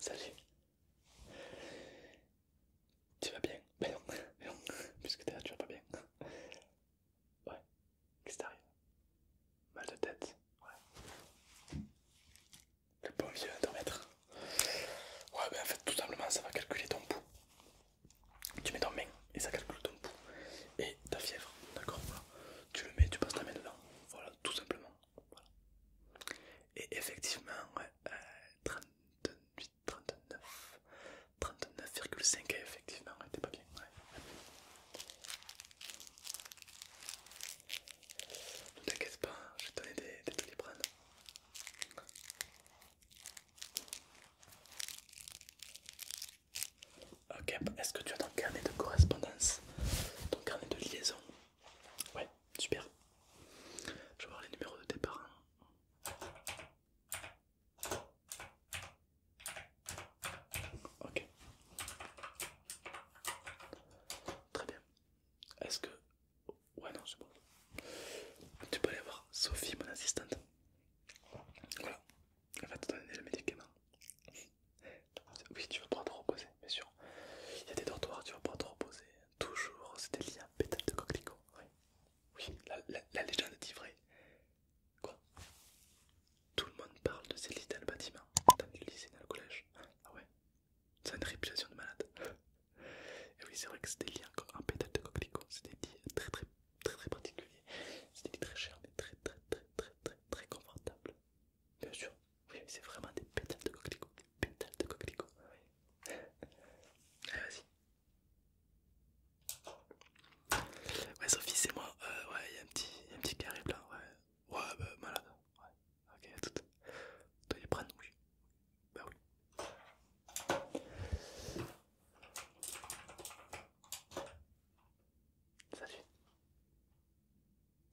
Salut Tu vas bien Mais non, puisque tu as tu vas pas bien. Ouais, qu'est ce extérieur. Mal de tête, ouais. Le bon vieux intermètre Ouais, ben en fait, tout simplement, ça va calculer ton pouls. Tu mets ton main et ça calcule ton pouls et ta fièvre, d'accord voilà. Tu le mets, tu passes ta main dedans, voilà, tout simplement. Voilà. Et effectivement, 38, 39, 39,5 effectivement, t'es pas bien. Ne t'inquiète pas, je vais te donner des, des Ok, est-ce que tu as ton carnet de correspondance Ton carnet de liaison Ouais, super. Je vais voir les numéros de tes parents. Ok. Très bien. Est-ce que... Ouais non, c'est bon. Tu peux aller voir Sophie, mon assistante. Voilà. Elle va te donner le médicament. Oui, tu vas pouvoir te reposer, bien sûr. Il y a des dortoirs, tu vas pouvoir te reposer. Toujours, c'était des liens pétales de coquelicot. Oui, la, légende est vrai. Quoi Tout le monde parle de lits dans le bâtiment, dans le lycée, dans le collège. Ah ouais Ça une réputation de malade. Et oui, c'est vrai que c'est des lits en pétale de coquelicot, des lits très très très très c'est des lits très chers mais très très très très très très confortables. Bien sûr, oui, c'est vraiment des pétales de coquelicot, pétales de coquelicot. Allez, vas-y. Ouais, Sophie, c'est moi. Euh, ouais, il y a un petit, un carré blanc. Ouais, ouais bah, malade. Ouais, ok, à tout. Toi, les prendre, oui. Bah oui. Salut.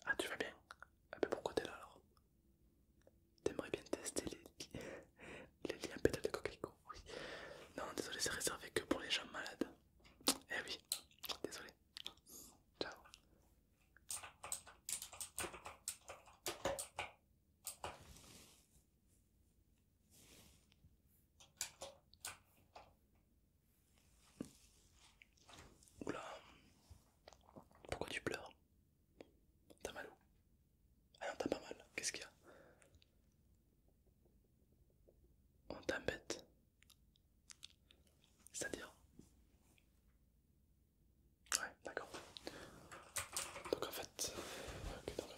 Ah, tu vas bien Ah, bah pourquoi t'es là alors T'aimerais bien tester les, les liens pétales de coquelicot oui. Non, désolé, c'est réservé que pour les gens malades. Eh oui, désolé. Ciao. Oula, pourquoi tu pleures T'as mal ah non, t'as pas mal. Qu'est-ce qu'il y a On t'embête. C'est-à-dire Ouais, d'accord. Donc en fait,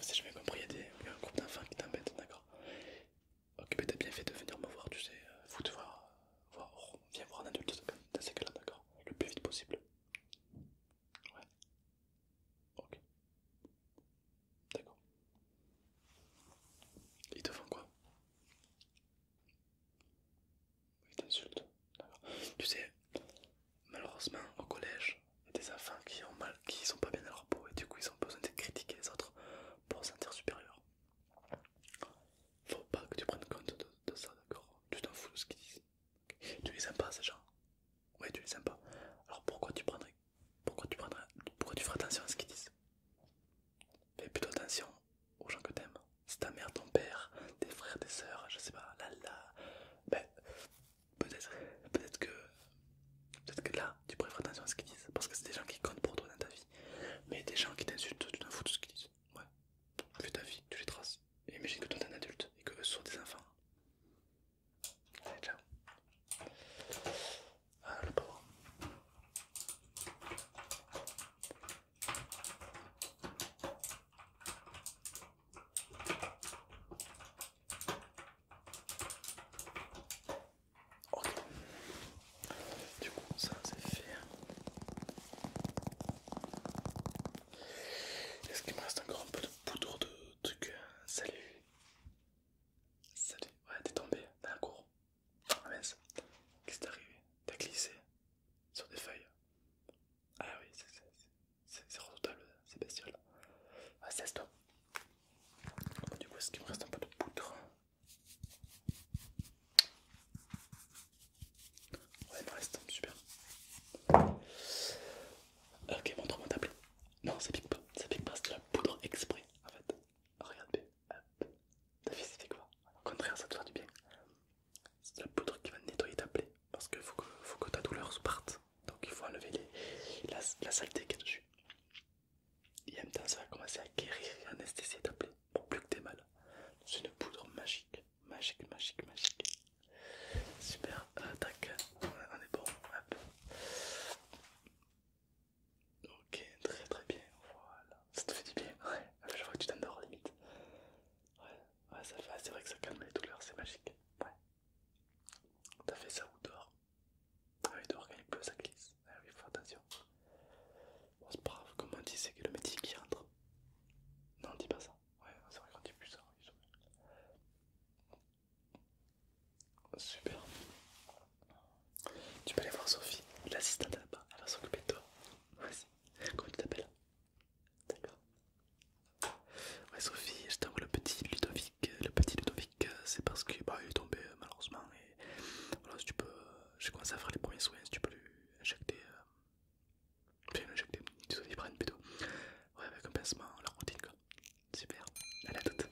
si je vais compris, il y, a un groupe d'enfants qui t'embête, d'accord Ok, mais t'as bien fait de venir me voir, tu sais, faut euh, te voir, voir viens voir un adulte dans ces cas-là, d'accord Le plus vite possible. Ouais, Ok. D'accord. ils te font quoi ils t'insultent, Tu sais, malheureusement, au collège, il y a des enfants qui ont mal, qui sont pas bien à leur peau et du coup ils ont besoin de critiquer les autres pour se sentir supérieur. Faut pas que tu prennes compte de, de ça, d'accord Tu t'en fous de ce qu'ils disent. Tu les aimes pas ces gens Ouais, tu les aimes pas. Alors pourquoi tu prendrais pourquoi tu prendrais pourquoi tu ferais attention à ce qu'ils disent Fais plutôt attention aux gens que t'aimes. C'est ta mère, ton père, tes frères, tes soeurs, je sais pas, là là. Ben peut-être peut-être que peut-être que là tu ferais attention à ce qu'ils disent parce que c'est des gens qui comptent pour toi dans ta vie. Mais des gens qui t'insultent, tu t'en fous de ce qu'ils disent. Ouais. Tu fais ta vie, tu les traces. imagine que toi t'es un adulte et que eux sont des enfants. Allez, ah, Ok. Du coup, ça c'est fait. Est-ce qu'il me reste encore un peu de poudre de truc. Salut. Salut. Ouais, t'es tombé dans la cour. Qu'est-ce qui t'est arrivé T'as glissé sur des feuilles. Ah oui, c'est redoutable, c'est bestial. Ah, c'est toi. Du coup, est-ce qu'il me reste un peu de poudre Ouais, il me reste, super. Euh, ok, montre-moi ta plaie. Non, ça pique pas, c'est de la poudre exprès en fait. Regarde bien, ta fille fait quoi Au contraire, ça te fera du bien. C'est de la poudre qui va nettoyer ta plaie parce que faut que, ta douleur parte. Donc il faut enlever la, saleté qui est dessus. Et en même temps, ça va commencer à guérir et anesthésier ta plaie pour plus que t'aies mal. C'est une poudre magique. Magique, magique, magique. Super, attaque euh, tac, on, est bon. Hop. Ok, très très bien, voilà. Ça te fait du bien, ouais. Ah, je vois que tu t'endors limite. Ouais, ouais, ça fait, c'est vrai que ça calme les douleurs, c'est magique. Ouais. T'as fait ça ou dehors Ah oui, dehors quand il pleut, ça glisse. Ah oui, faut attention. Bon, c'est brave, comment on dit, c'est que le métier qui rentre. Non, dis pas ça. Ouais, c'est vrai qu'on plus ça. Super. Tu peux aller voir Sophie, l'assistante là-bas, elle va s'occuper de toi. Vas-y, comment tu t'appelles D'accord. Ouais, Sophie, je t'envoie le petit Ludovic. Le petit Ludovic, c'est parce qu'il bah, est tombé euh, malheureusement. Et voilà, si tu peux. Euh, j'ai commencé à faire les premiers soins, si tu peux lui injecter. Euh, Enfin, l'injecter, désolé, prennent plutôt. Ouais, avec un pincement, la routine quoi. Super, allez à toute.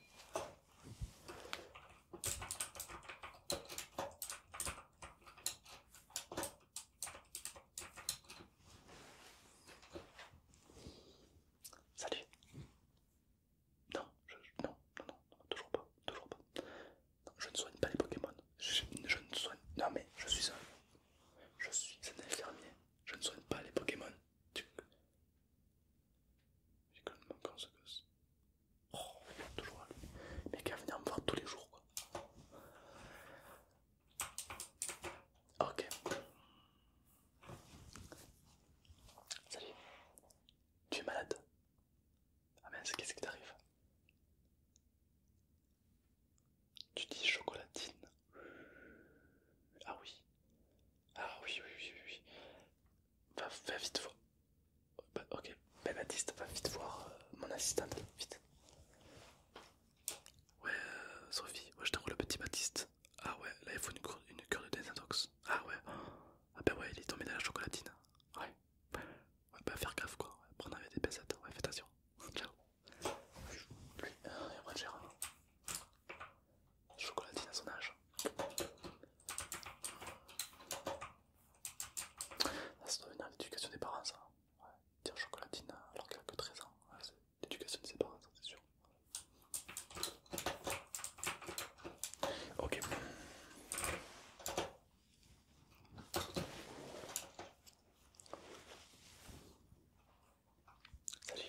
Salut. Non, non, non, non, toujours pas, toujours pas je ne soigne pas les Pokémon. Je, ne soigne. Non, mais je suis un. Je suis un infirmier. Je ne soigne pas les Pokémon. J'ai quand même encore ce gosse. Oh, toujours à lui. Mais va venir me voir tous les jours, quoi. Ok. Salut. Tu es malade ah mais qu'est-ce qui t'arrive Tu dis chocolatine. Ah oui. Ah oui, oui, oui, oui. Va, vite voir. Bah, ok, bah, Baptiste, va vite voir euh, mon assistante. Vite. Ouais, euh, Sophie, je t'envoie le petit Baptiste. Ah ouais, là il faut une cure, de désintox. Ah ouais. Ah bah ouais, il est tombé dans la chocolatine. Ouais. Ouais, pas faire gaffe quoi, prendre avec des pincettes, ouais, fais attention. Ciao. Lui, il va gérer. Euh, chocolatine à son âge. ça doit venir l'éducation des parents, ça. dire chocolatine alors qu'elle a que 13 ans. l'éducation de ses parents, c'est sûr. Ok. Salut.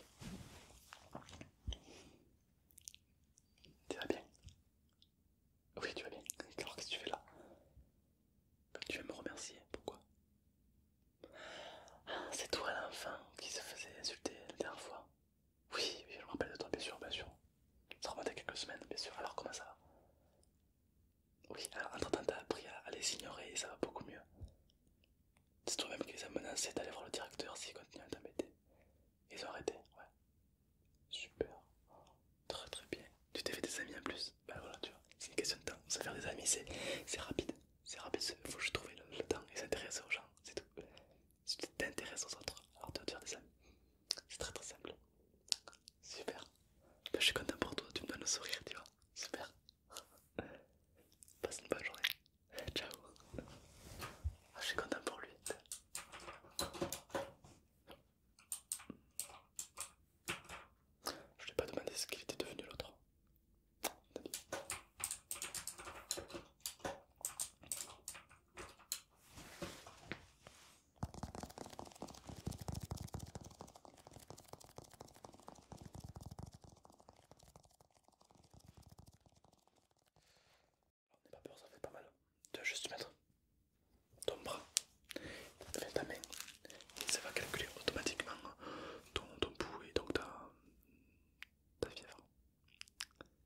Tu vas bien Oui, tu vas bien. Alors, qu'est-ce que tu fais là bah, Tu veux me remercier Pourquoi ah, C'est toi l'enfant qui se faisait insulter la dernière fois. Oui, je me rappelle de toi, bien sûr, bien sûr. Ça remonte à quelques semaines, bien sûr. Alors, comment ça va Oui, alors, entre-temps, t'as appris à, les ignorer et ça va beaucoup mieux. C'est toi-même qui les a menacés d'aller voir le directeur s'ils continue à t'embêter. Ils ont arrêté, ouais. Super. Très très bien. Tu t'es fait des amis en plus Bah voilà, tu vois, c'est une question de temps. Se faire des amis, c'est rapide. C'est rapide, il faut juste trouver le, le temps et s'intéresser aux gens, c'est tout. Si tu t'intéresses aux autres, alors tu vas te faire des amis. C'est très très simple. Super. Ben, je suis content pour toi, tu me donnes un sourire, tu vois. Super. Passe une bonne journée. Ciao. Ah, je suis content pour lui. Je ne lui ai pas demandé ce qu'il était devenu l'autre. On n'est pas peur, ça fait pas mal. Tu vas juste mettre ton bras, faire ta main, et ça va calculer automatiquement ton, ton et donc ta, ta fièvre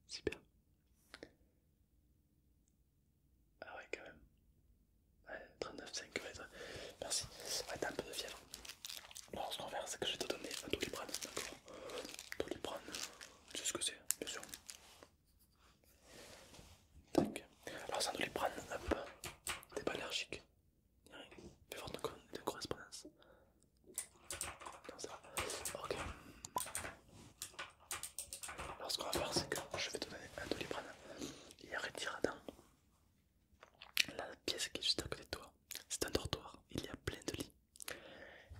super Ah ouais quand même. Ouais, 39,5 Merci. Merci. va t'as un peu de fièvre. Alors ce qu'on va faire, c'est que je vais te donner un doliprane, d'accord Doliprane, tu sais ce que c'est, bien sûr. Tac. Alors c'est un doliprane, T'es pas allergique. Il y a rien. de correspondance ça. Alors ce qu'on va faire c'est que je vais te donner un doliprane et Il dans La pièce qui est juste à côté de toi, c'est un dortoir, il y a plein de lits.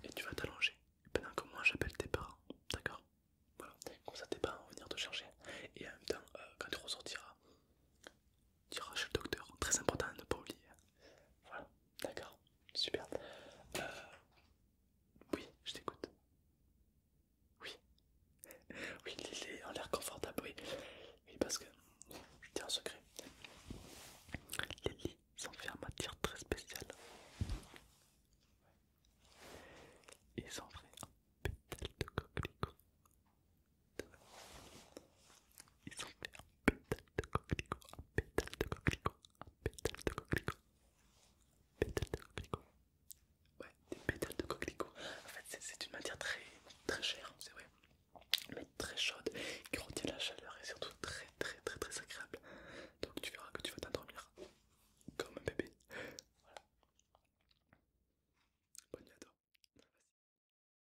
Et tu vas t'allonger pendant que moi j'appelle tes parents, d'accord Voilà, comme ça tes parents vont venir te chercher. Et en même temps, euh, quand tu ressortiras, tu iras chez le docteur, très important de ne pas oublier. Voilà, d'accord Super. Euh... Oui, je t'écoute. Oui. Oui, il est en l'air confortable, oui. Oui, parce que je dis un secret. Les lits sont faits en matière très spéciale. Ils sont faits en pétales de coquelicot ont fait un pétale de coquelicot, un pétale de coquelicot, un pétale de coquelicot, pétale de coquelicot. Ouais, des pétales de coquelicot. En fait, c'est une matière très très chère, hein, c'est vrai, mais très chaude, qui retient la chaleur et surtout très très très très agréable. Donc tu verras que tu vas t'endormir comme un bébé. Voilà. Bonne nuit